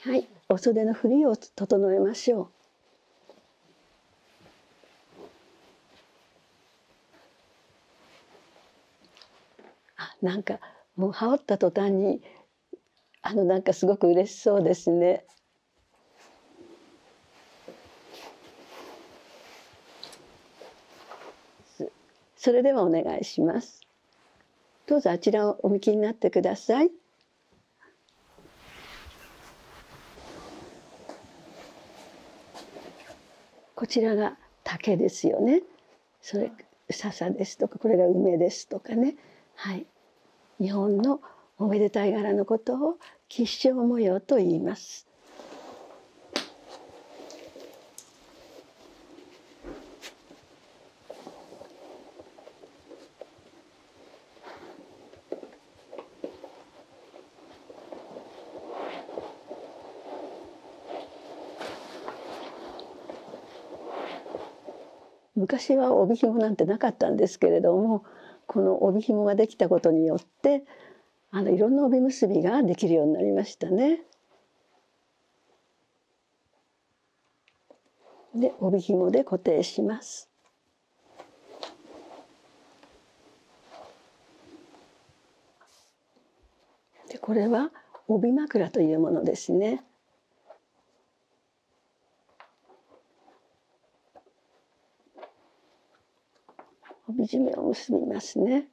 はいおそのふりを整えましょう。あなんかもう羽織った途端にあのなんかすごく嬉しそうですね。それではお願いします。どうぞあちらをお向きになってください。こちらが竹ですよね。それ笹ですとかこれが梅ですとかね。はい。日本のおめでたい柄のことを吉祥模様と言います。。昔は帯紐なんてなかったんですけれどもこの帯紐ができたことによってあのいろんな帯結びができるようになりましたね。で帯紐で固定します。でこれは帯枕というものですね。帯締めを結びますね。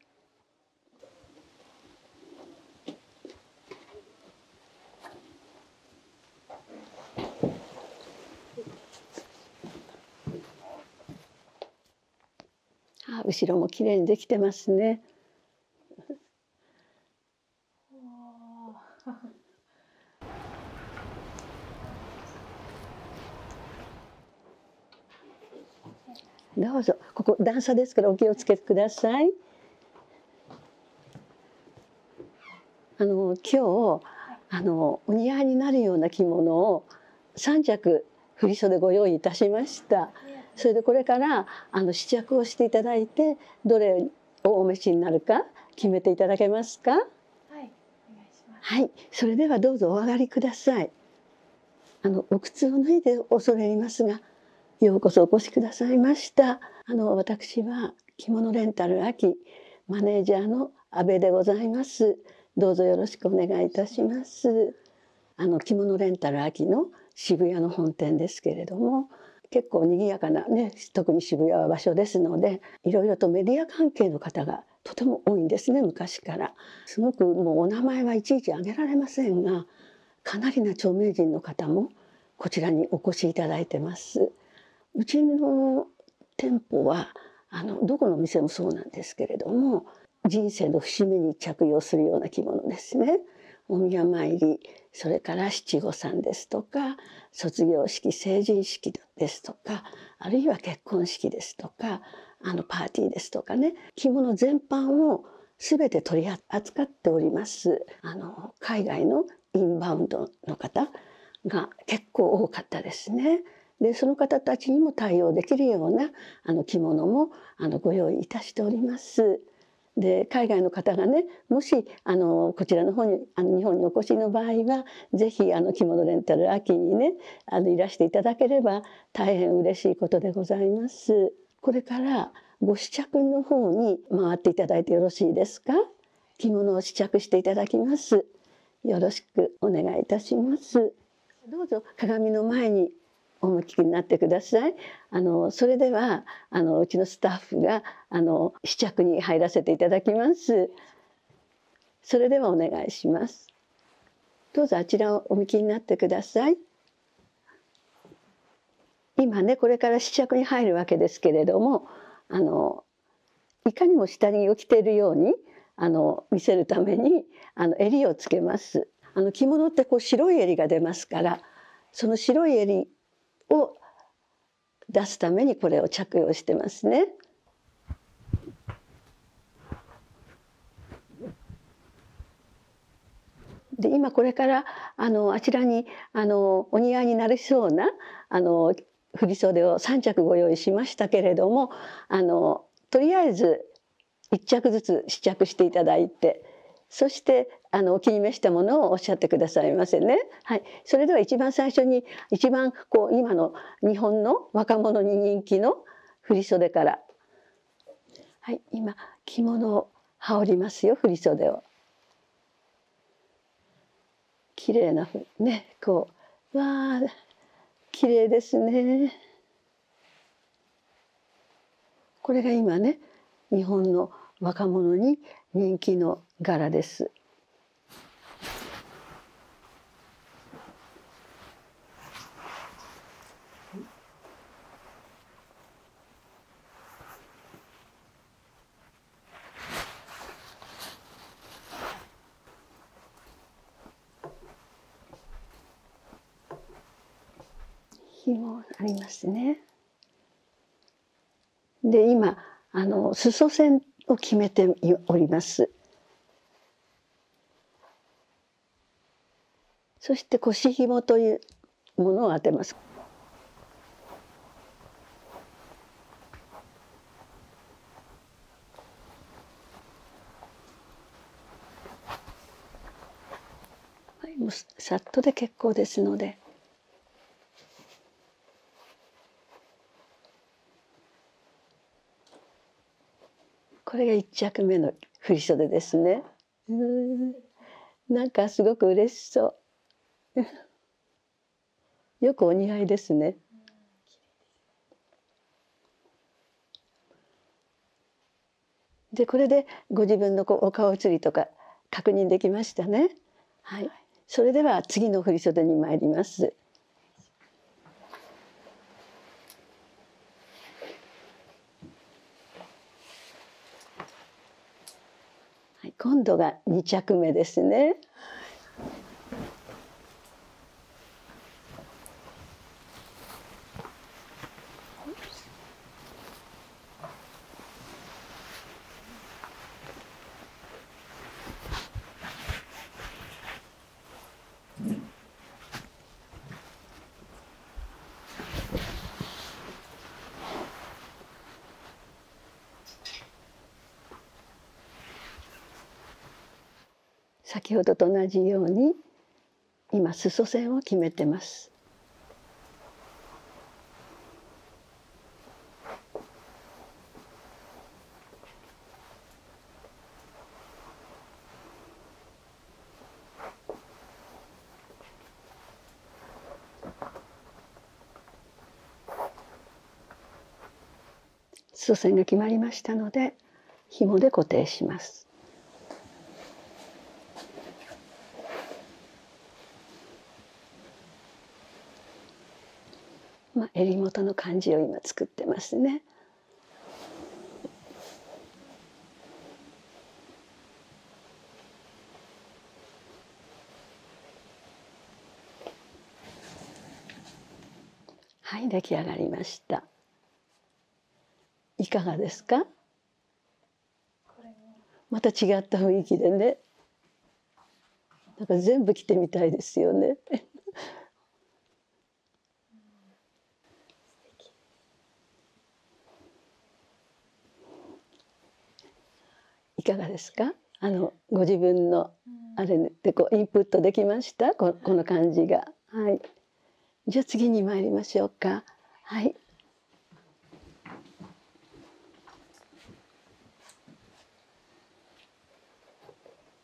あ後ろもきれいにできてますね。どうぞここ段差ですからお気をつけくださいあの今日あのお似合いになるような着物を3着振袖ご用意いたしましたそれでこれからあの試着をしていただいてどれをお召しになるか決めていただけますかはい、はい、それではどうぞお上がりくださいあのお靴を脱いで恐れ入りますがようこそお越しくださいましたあの私は着物レンタル秋マネージャーの阿部でございますどうぞよろしくお願いいたしますあの着物レンタル秋の渋谷の本店ですけれども結構賑やかなね特に渋谷は場所ですのでいろいろとメディア関係の方がとても多いんですね昔から。すごくもうお名前はいちいち挙げられませんがかなりな著名人の方もこちらにお越しいただいてますうちの店舗はあのどこの店もそうなんですけれども人生の節目に着用するような着物ですねお宮参りそれから七五三ですとか卒業式成人式ですとかあるいは結婚式ですとかあのパーティーですとかね着物全般を全て取り扱っておりますあの海外のインバウンドの方が結構多かったですね。でその方たちにも対応できるようなあの着物もあのご用意いたしております。で海外の方がねもしあのこちらの方にあの日本にお越しの場合は是非あの着物レンタル秋にねあのいらしていただければ大変嬉しいことでございます。これからご試着の方に回っていただいてよろしいですか着物を試着していただきますよろしくお願いいたしますどうぞ鏡の前にお向きになってくださいあのそれではあのうちのスタッフがあの試着に入らせていただきますそれではお願いしますどうぞあちらをお向きになってください。今ねこれから試着に入るわけですけれどもあのいかにも下着を着てるようにあの見せるためにあの襟をつけます。あの着物ってこう白い襟が出ますからその白い襟を出すためにこれを着用してますね。で今これからあのあちらにあのお似合いになりそうなあの振袖を3着ご用意しましたけれどもあのとりあえず1着ずつ試着していただいてそしてあのお気に召したものをおっしゃってくださいませね。はい、それでは一番最初に一番こう今の日本の若者に人気の振袖からはい、今着物を羽織りますよ振袖を。綺麗なねこうわあ綺麗ですね。これが今ね日本の若者に人気の柄です。紐ありますね。で今あの裾線を決めております。そして腰紐というものを当てます。はい、もうさっとで結構ですので。これが1着目の振袖ですねなんかすごく嬉しそう よくお似合いですねでこれでご自分のこうお顔写りとか確認できましたね、い、はい、それでは次の振袖に参りますはい、今度が2着目ですね。先ほどと同じように今裾線を決めてます。数線が決まりましたので紐で固定します。まあ、襟元の感じを今作ってますね。はい出来上がりましたいかがですかまた違った雰囲気でねなんか全部着てみたいですよねいかがですかあのご自分のあれでこうインプットできましたこの感じが。はい、じゃあ次に参りましょうか。はい、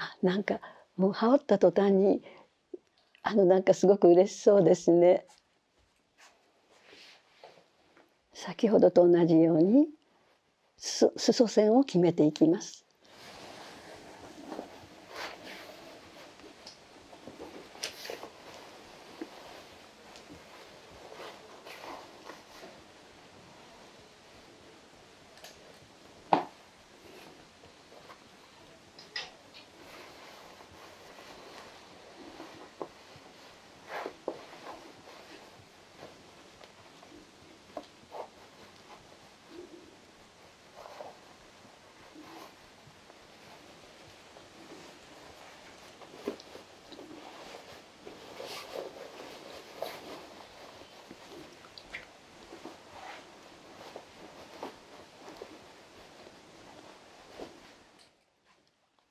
あなんかもう羽織った途端にあのなんかすごく嬉しそうですね。先ほどと同じようにす、そ線を決めていきます。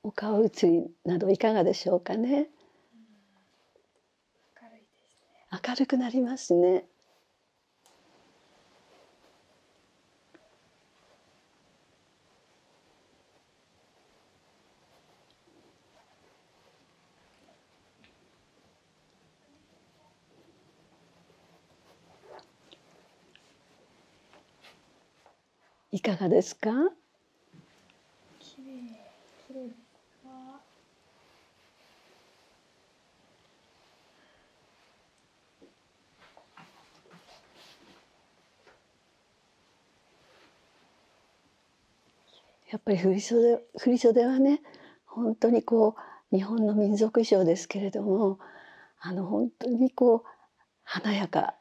お顔写りなどいかがでしょうかね。明るいですね。明るくなりますね。いかがですか？きれいきれいわやっぱり振袖振袖はね本当にこう日本の民族衣装ですけれどもあの本当にこう華やか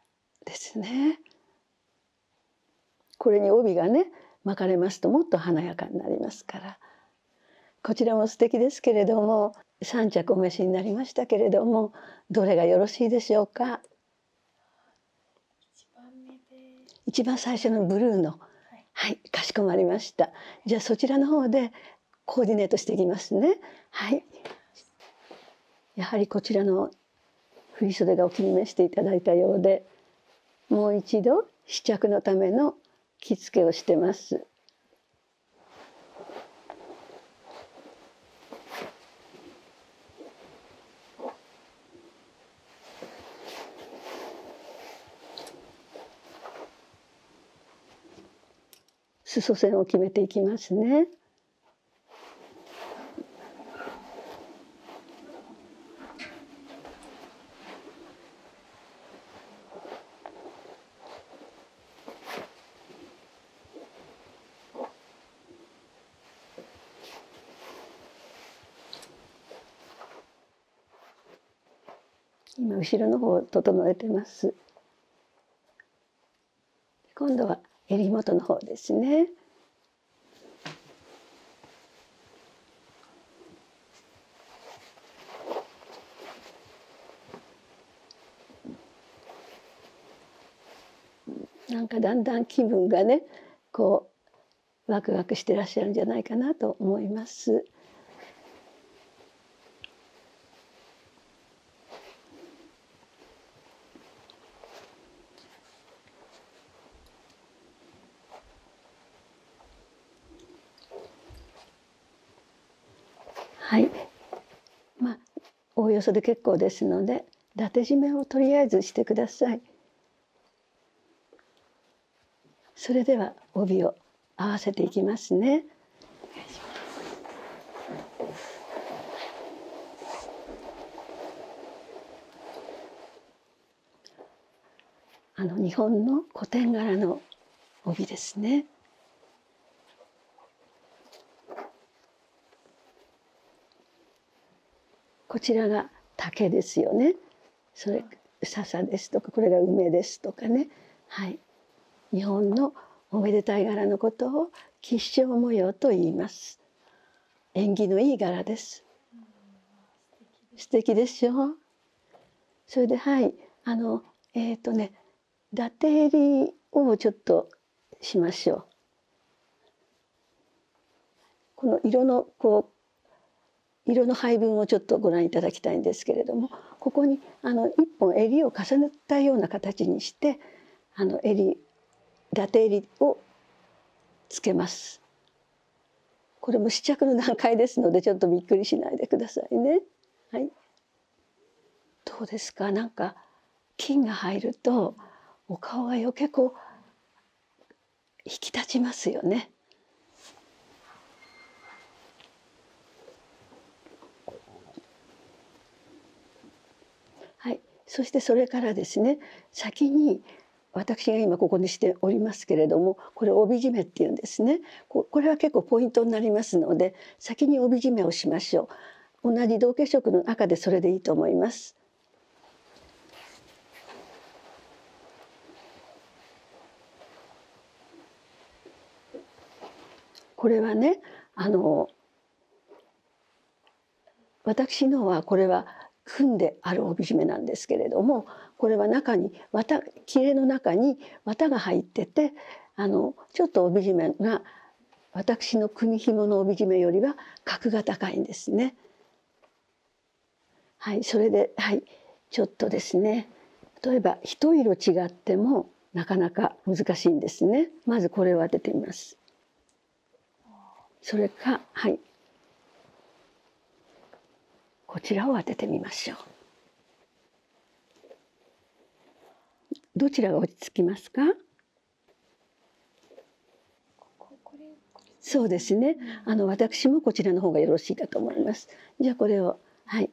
ですね。これに帯がね巻かれますともっと華やかになりますからこちらも素敵ですけれども3着お召しになりましたけれどもどれがよろしいでしょうか一番最初のブルーの、はい、はい、かしこまりましたじゃあそちらの方でコーディネートしていきますねはいやはりこちらの振り袖がお気に召していただいたようでもう一度試着のための着付けをしてます。裾線を決めていきますね。今後ろの方整えてます今度は襟元の方ですねなんかだんだん気分がねこうワクワクしてらっしゃるんじゃないかなと思います。はいまあおおよそで結構ですので伊達締めをとりあえずしてください。それでは帯を合わせていきますね。あの日本の古典柄の帯ですね。こちらが竹ですよね。それ笹ですとかこれが梅ですとかね。はい。日本のおめでたい柄のことを吉祥模様と言います。縁起のいい柄です。素敵でしょそれではいあのえっ、とね伊達襟をちょっとしましょう。この色のこう色の配分をちょっとご覧いただきたいんですけれどもここにあの1本襟を重ねたような形にしてあの襟伊達襟をつけます。これも試着の段階ですのでちょっとびっくりしないでくださいね。はい、どうですかなんか菌が入るとお顔が余計こう引き立ちますよね。はい、そしてそれからですね先に私が今ここにしておりますけれどもこれ帯締めっていうんですねこれは結構ポイントになりますので先に帯締めをしましょう同じ同系色の赤でそれでいいと思いますこれはねあの私のはこれは組んである帯締めなんですけれどもこれは中に綿切れの中に綿が入っててあのちょっと帯締めが私の組紐の帯締めよりは格が高いんですね。はい、それで、はい、ちょっとですね例えば一色違ってもなかなか難しいんですね。まずこれを当ててみます。それかはいこちらを当ててみましょうどちらが落ち着きますかそうですねあの私もこちらの方がよろしいかと思いますじゃあこれをはい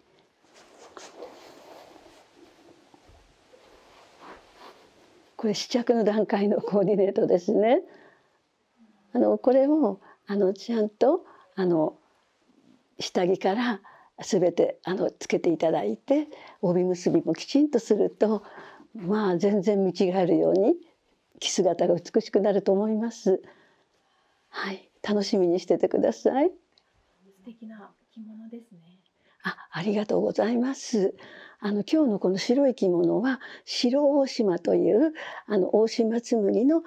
これ試着の段階のコーディネートですね。あのこれをあのちゃんとあの下着から全てあのつけていただいて帯結びもきちんとするとまあ全然見違えるように着姿が美しくなると思います。はい、楽しみにしててください。素敵な着物ですね。あ、ありがとうございます。あの今日のこの白い着物は白大島というあの大島紬の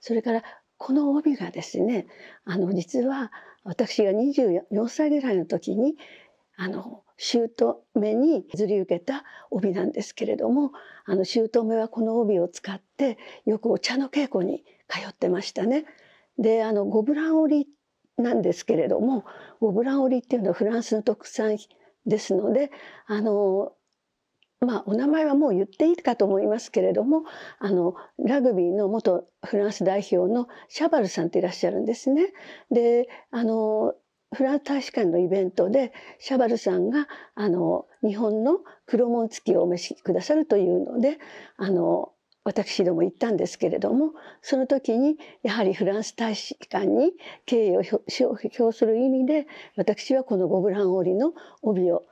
それからこの帯がですねあの実は私が24歳ぐらいの時にあの姑に譲り受けた帯なんですけれどもあの姑はこの帯を使ってよくお茶の稽古に通ってましたね。であのゴブランりなんですけれどもゴブラン織っていうのはフランスの特産ですのであのまあ、お名前はもう言っていいかと思いますけれどもあのラグビーの元フランス代表のシャバルさんっていらっしゃるんですね。であのフランス大使館のイベントでシャバルさんがあの日本の黒紋付きをお召しくださるというのであの私ども行ったんですけれどもその時にやはりフランス大使館に敬意を表する意味で私はこのゴブラン織の帯を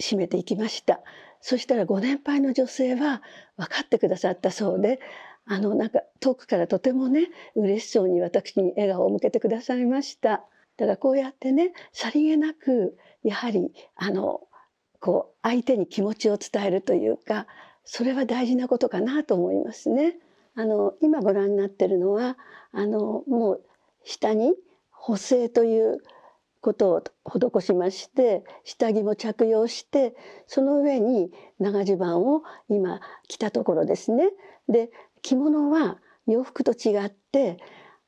締めていきましたそしたらご年配の女性は分かってくださったそうであのなんか遠くからとてもね嬉しそうに私に笑顔を向けてくださいましただこうやってねさりげなくやはりあのこう相手に気持ちを伝えるというかそれは大事なことかなと思いますね。あの今ご覧になってるのはあのもう下に補正ということを施しまして下着も着用してその上に長襦袢を今着たところですね。で着物は洋服と違って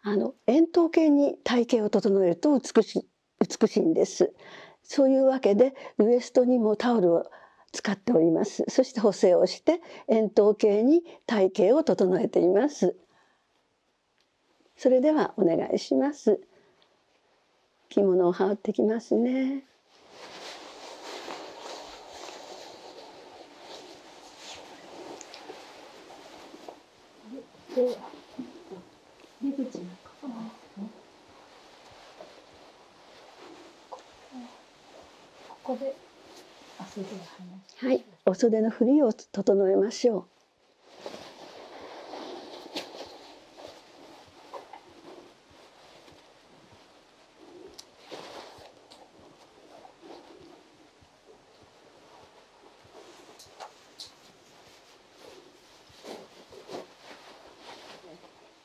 あの円筒形に体型を整えると美しいんです。そういうわけでウエストにもタオルを使っておりますそして補正をして円筒形に体型を整えていますそれではお願いします着物を羽織ってきますね出口なんかここでお袖を離はい、お袖のふりを整えましょう。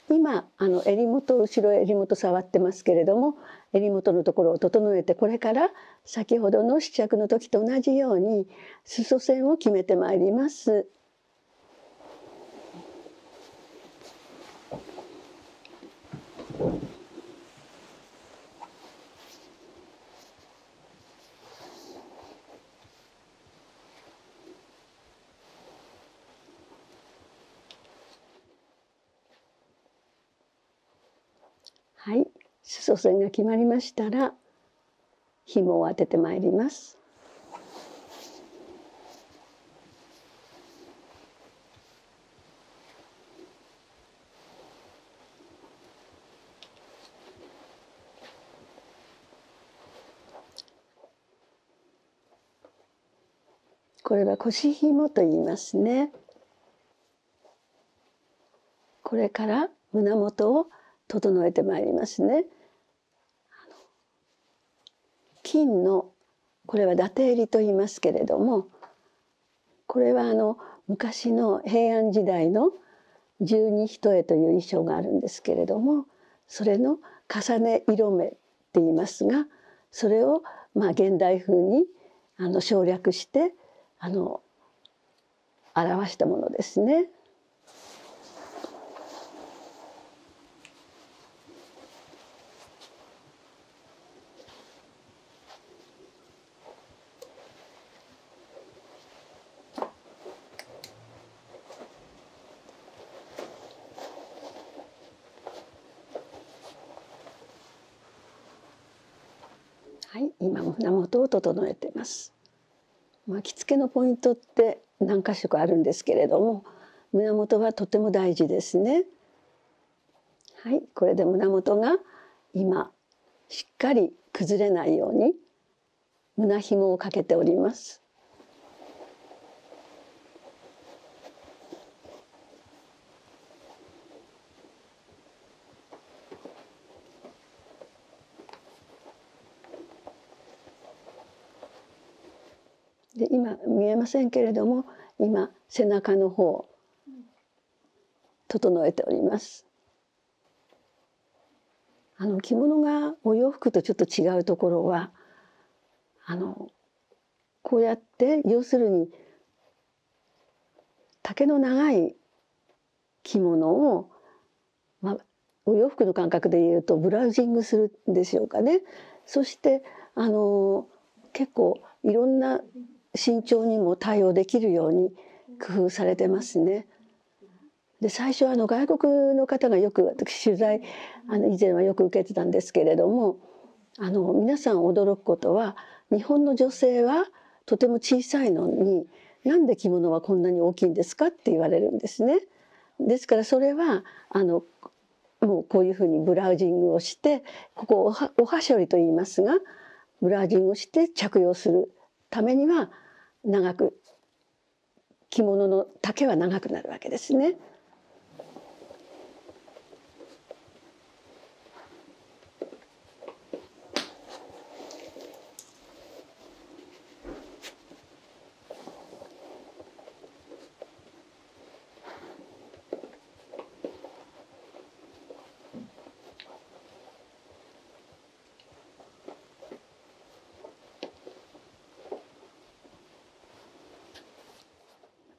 今あの襟元後ろ襟元触ってますけれども襟元のところを整えてこれから先ほどの試着の時と同じように裾線を決めてまいります。はい、す祖線が決まりましたらひもを当ててまいります。これは腰紐と言いますね。これから胸元を整えてまいりますね。金のこれは伊達襟と言いますけれどもこれはあの昔の平安時代の十二一重という衣装があるんですけれどもそれの重ね色目っていいますがそれをまあ現代風にあの省略してあの表したものですね。はい、今も胸元を整えてます。巻きつけのポイントって何箇所かあるんですけれども、胸元はとても大事ですね。はい、これで胸元が今しっかり崩れないように胸紐をかけております。で今見えませんけれども今背中の方整えております。着物がお洋服とちょっと違うところはこうやって要するに丈の長い着物を、お洋服の感覚で言うとブラウジングするんでしょうかね。そして結構いろんな身長にも対応できるように工夫されてますね。で最初あの外国の方がよく私取材あの以前はよく受けてたんですけれどもあの皆さん驚くことは日本の女性はとても小さいのになんで着物はこんなに大きいんですかって言われるんですね。ですからそれはあのもうこういうふうにブラウジングをしてここおはしょりと言いますがブラウジングをして着用するためには長く着物の丈は長くなるわけですね。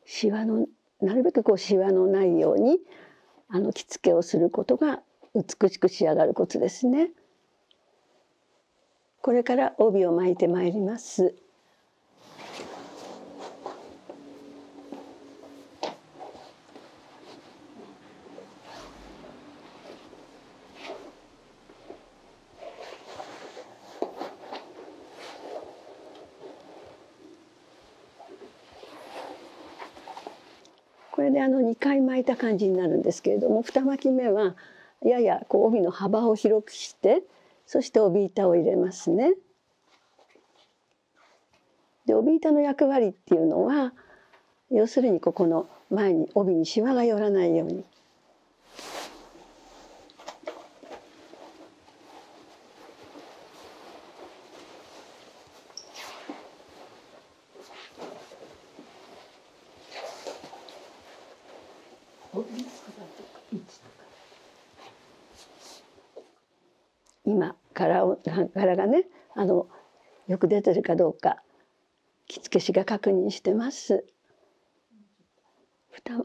しわのなるべくこうしわのないようにあの着付けをすることが美しく仕上がるコツですね。これから帯を巻いてまいります。これであの2回巻いた感じになるんですけれども2巻き目はやや帯の幅を広くしてそして帯板を入れますね。で帯板の役割っていうのは要するにここの前に帯にしわが寄らないように。今柄を柄がねあのよく出てるかどうか着付け師が確認してます。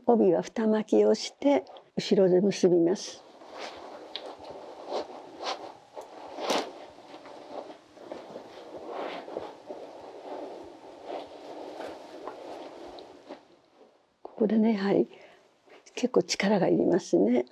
帯は二巻きをして後ろで結びます。ここでねやはり結構力がいりますね。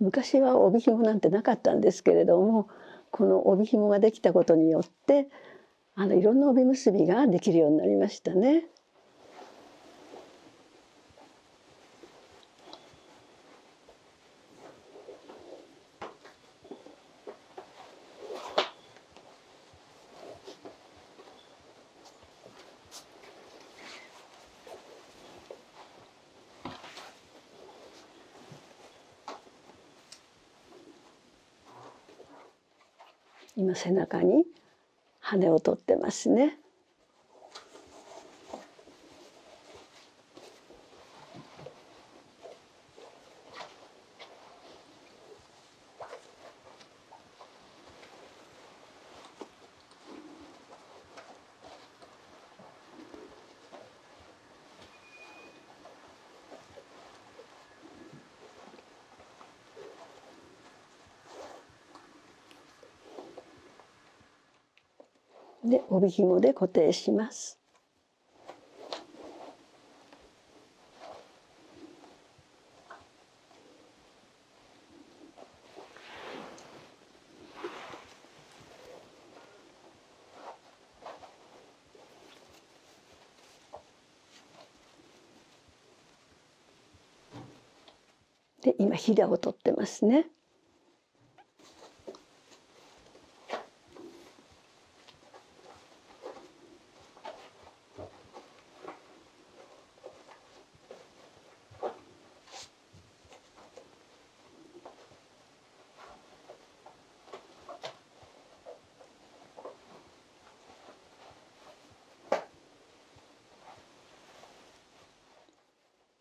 昔は帯紐なんてなかったんですけれどもこの帯紐ができたことによってあのいろんな帯結びができるようになりましたね。今背中に羽を取ってますね。で帯紐で固定します。で今ひだを取ってますね。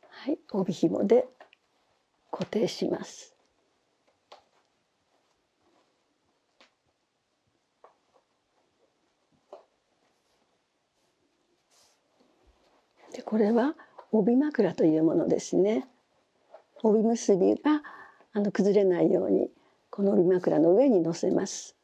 はい、帯紐で固定します。でこれは帯枕というものですね。帯結びが崩れないようにこの帯枕の上に乗せます。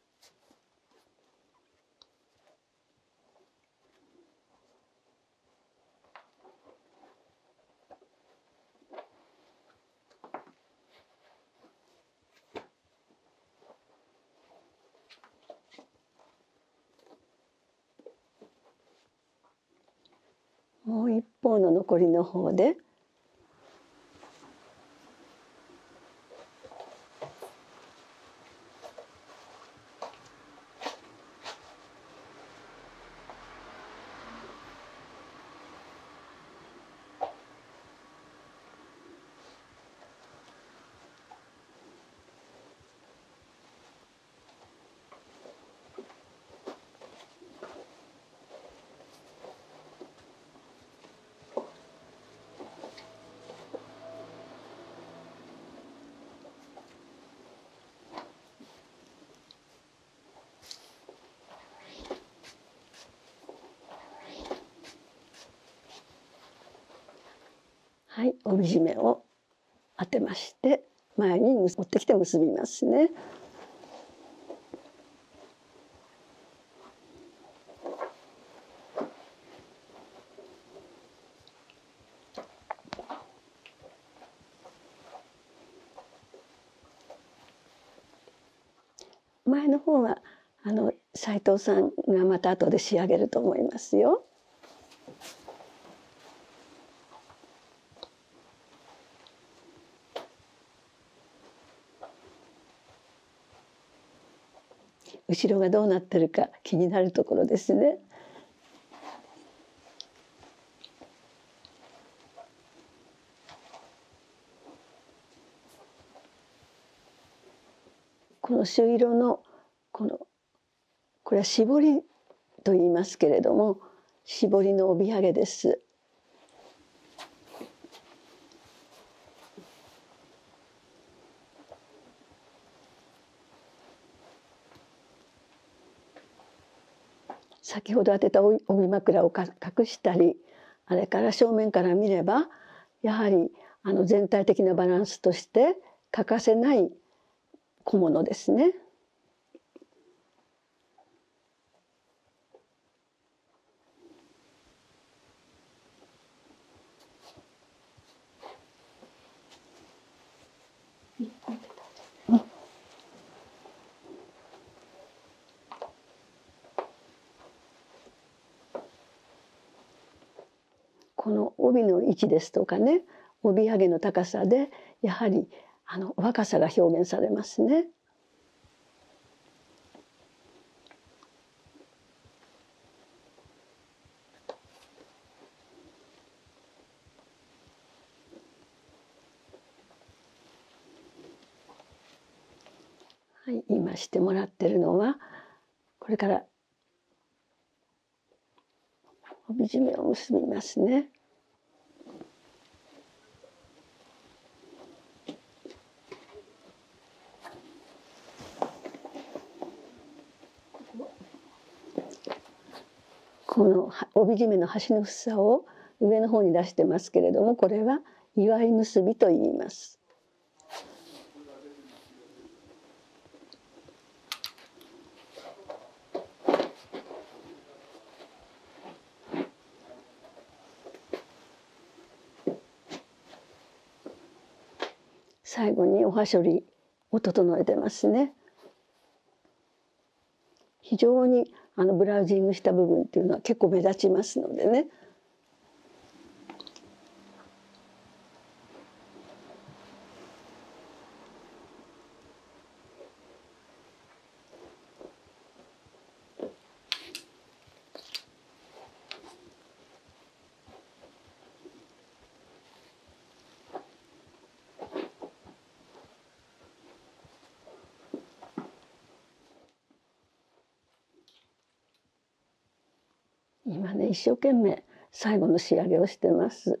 もう一方の残りの方ではい帯締めを当てまして。前に持ってきて結びますね。前の方はあの斉藤さんがまた後で仕上げると思いますよ。後がどうなってるか気になるところですね。この朱色のこのこれは絞りと言いますけれども絞りの帯揚げです。先ほど当てた帯枕を隠したりあれから正面から見ればやはりあの全体的なバランスとして欠かせない小物ですね。この帯の位置ですとかね帯揚げの高さでやはりあの若さが表現されますね。はい、今してもらってるのはこれから帯締めを結びますね。この帯締めの端の房を上の方に出してますけれどもこれは祝い結びといいます。最後におはしょりを整えてますね。非常にあのブラウジングした部分っていうのは結構目立ちますのでね。今ね一生懸命最後の仕上げをしてます。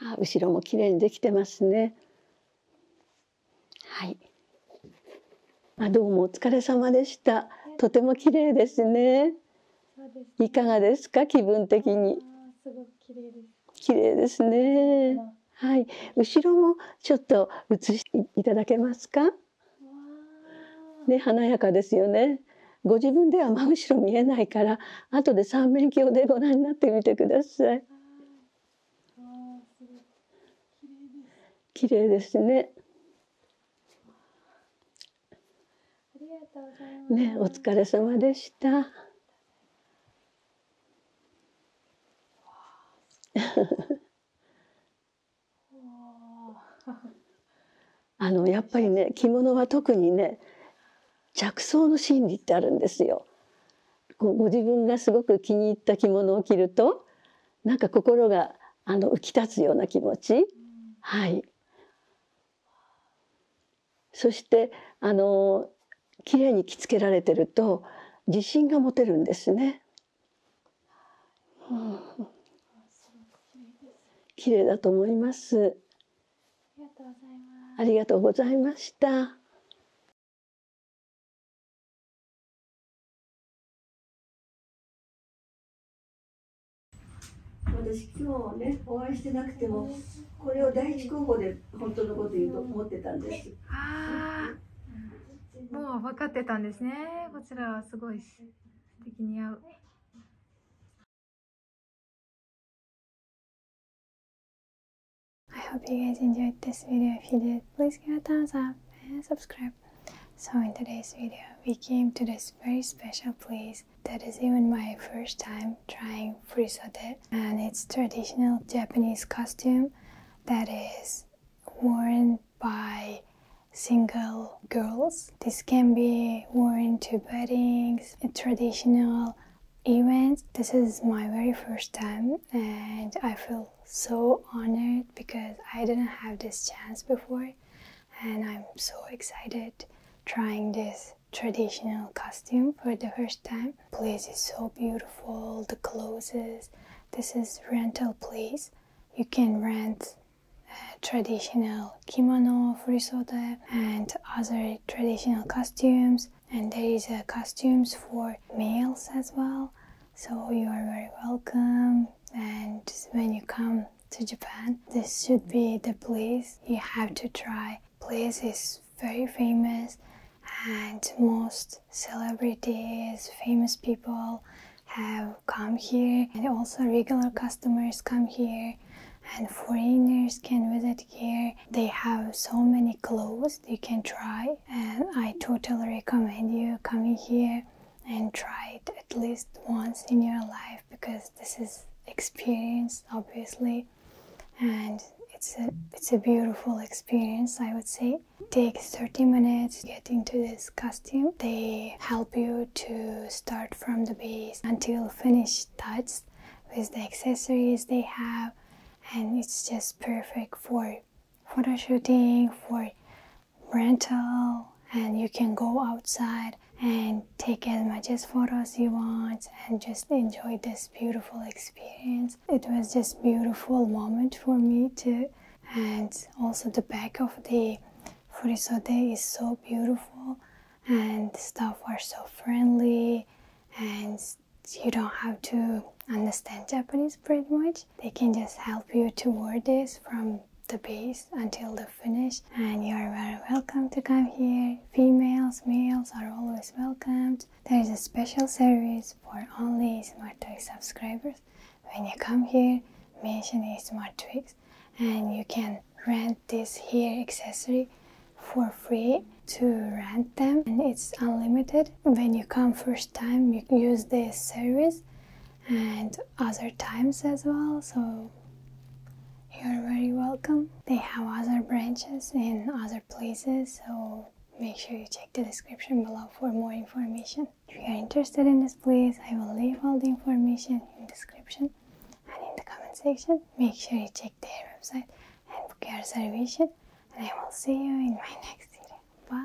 あ後ろもきれいにできてますね。はいあどうもお疲れ様でしたとても綺麗ですねいかがですか気分的にご綺麗ですねはい後ろもちょっと映していただけますかね華やかですよねご自分では真後ろ見えないから後で三面鏡でご覧になってみてください。綺麗ですね。ありがとうございます。ね、お疲れ様でした。あのやっぱりね着物は特にね着想の心理ってあるんですよ。ご自分がすごく気に入った着物を着るとなんか心があの浮き立つような気持ち、はいそしてあの綺麗に着付けられてると自信が持てるんですね。綺麗だと思います。ありがとうございました。私今日ねお会いしてなくてもこれを第一候補で本当のこと言うと思ってたんです。ああ、もう分かってたんですね。こちらはすごい素敵に合う。I hope you guys enjoyed this video. If you did, please give a thumbs up and subscribe. So in today's video, we came to this very special place that is even my first time trying frisode and it's traditional Japanese costume that is worn by single girls. This can be worn to weddings, traditional event. This is my very first time and I feel so honored because I didn't have this chance before and I'm so excited trying this traditional costume for the first time. Place is so beautiful, the clothes. This is rental place. You can rent traditional kimono, furisoda and other traditional costumes and there is uh, costumes for males as well so you are very welcome and when you come to japan this should be the place you have to try place is very famous and most celebrities famous people have come here and also regular customers come here and foreigners can visit here they have so many clothes you can try and I totally recommend you coming here and try it at least once in your life because this is experience obviously and it's a it's a beautiful experience i would say take 30 minutes get into this costume they help you to start from the base until finished touch with the accessories they have and it's just perfect for photo shooting for rental and you can go outside and take as much as photos you want and just enjoy this beautiful experience it was just beautiful moment for me too and also the back of the today is so beautiful and staff are so friendly and you don't have to understand Japanese pretty much. They can just help you to word this from the base until the finish and you are very welcome to come here. Females, males are always welcomed. There is a special service for only Smart Twix subscribers. When you come here, mention Smart Twix and you can rent this hair accessory for free to rent them and it's unlimited when you come first time you use this service and other times as well so you're very welcome they have other branches in other places so make sure you check the description below for more information if you are interested in this place i will leave all the information in description and in the comment section make sure you check their website and book your reservation, and I will see you in my next video. Bye!